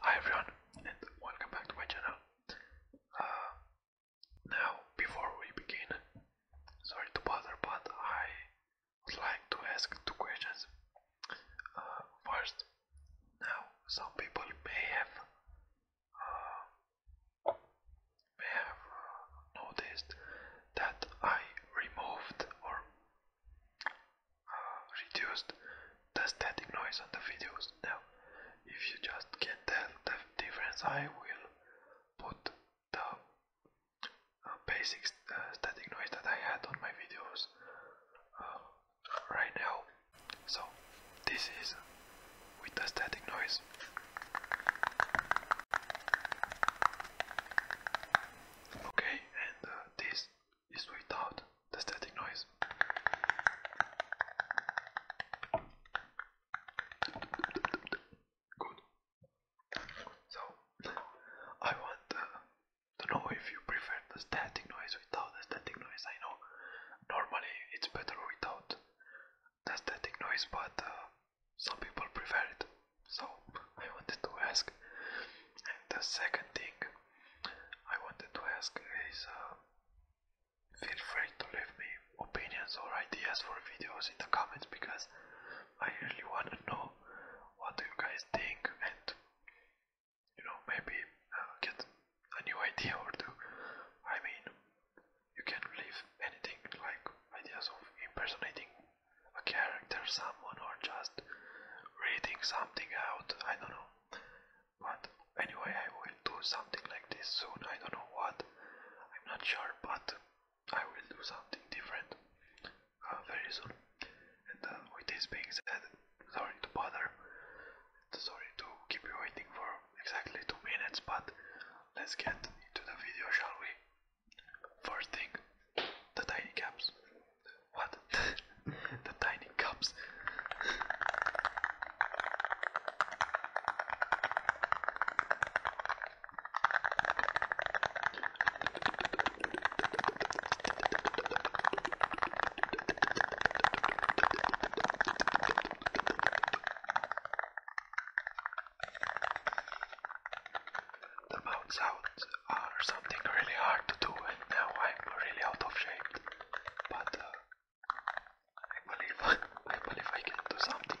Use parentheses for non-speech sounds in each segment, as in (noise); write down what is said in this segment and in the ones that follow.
Hi everyone and welcome back to my channel. Uh, now before we begin, sorry to bother but I would like to ask two questions. Uh, first, now some people may have uh, may have noticed that I removed or reduced the static noise on the videos. Now, if you just can tell the difference, I will put the uh, basic uh, static noise that I had on my videos uh, right now. So, this is with the static noise. Okay, and uh, this is without the static noise. Good. So, I want uh, to know if you prefer the static noise without the static noise. I know normally it's better without the static noise, but uh, some people prefer it. So, I wanted to ask. the second thing I wanted to ask is uh, feel free to leave me opinions or ideas for videos in the comments because I really want to know what you guys think and you know maybe uh, get a new idea or two. I mean, you can leave anything like ideas of impersonating a character, someone, or just reading something out. I don't know. But anyway, I will do something like this soon. I don't know what. I'm not sure, but I will do something different uh, very soon. And uh, with this being said, sorry to bother. Sorry to keep you waiting for exactly two minutes, but let's get into the video, shall we? First thing, the tiny caps. What? (laughs) the tiny cups. the mouth sounds or something really hard to do, and now I'm really out of shape. But uh, I believe (laughs) I believe I can do something.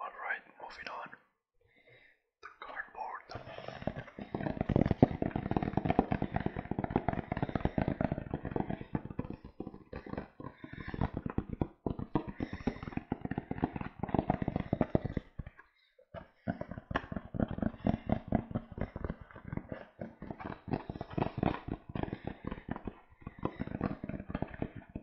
Alright, moving on the cardboard.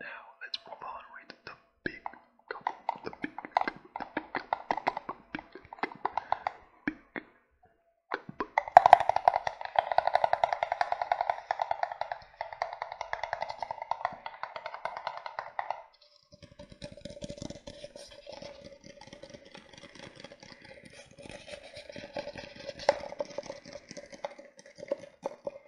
Now let's move on with the big couple. The big, couple, big, big, big couple.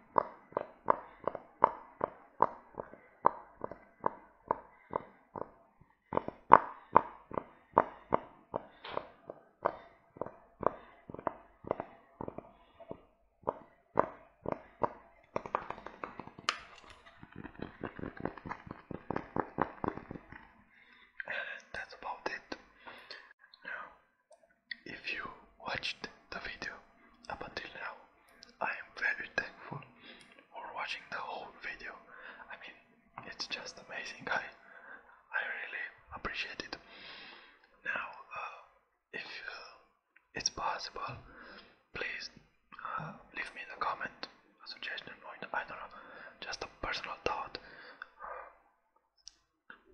And that's about it. Now if you watched the video up until now, I am very thankful for watching the whole video. I mean, it's just amazing. (laughs) I, I really appreciate it. Now, uh, if uh, it's possible, please uh, leave me in a comment, a suggestion, or I don't know, just a personal thought.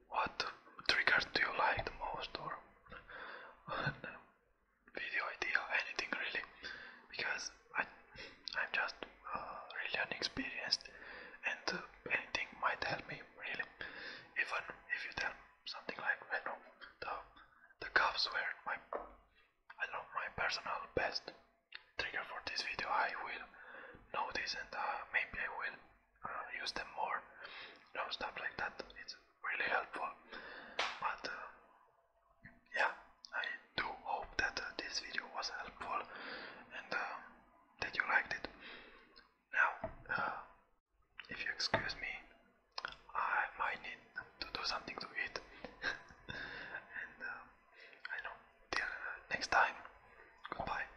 What trigger do you like the most, or (laughs) video idea, anything really? Because I, I'm just uh, really unexperienced, and uh, anything might help me really. Even if you tell something like, I know, the the cuffs were my, I know, my personal best trigger for this video. I will know this, and uh, maybe I will use them more. You know, stuff like that. It's really helpful. But uh, yeah, I do hope that uh, this video was helpful and uh, that you liked it. Now, if you excuse me, I might need to do something to eat. (laughs) and I know. Till next time. Goodbye.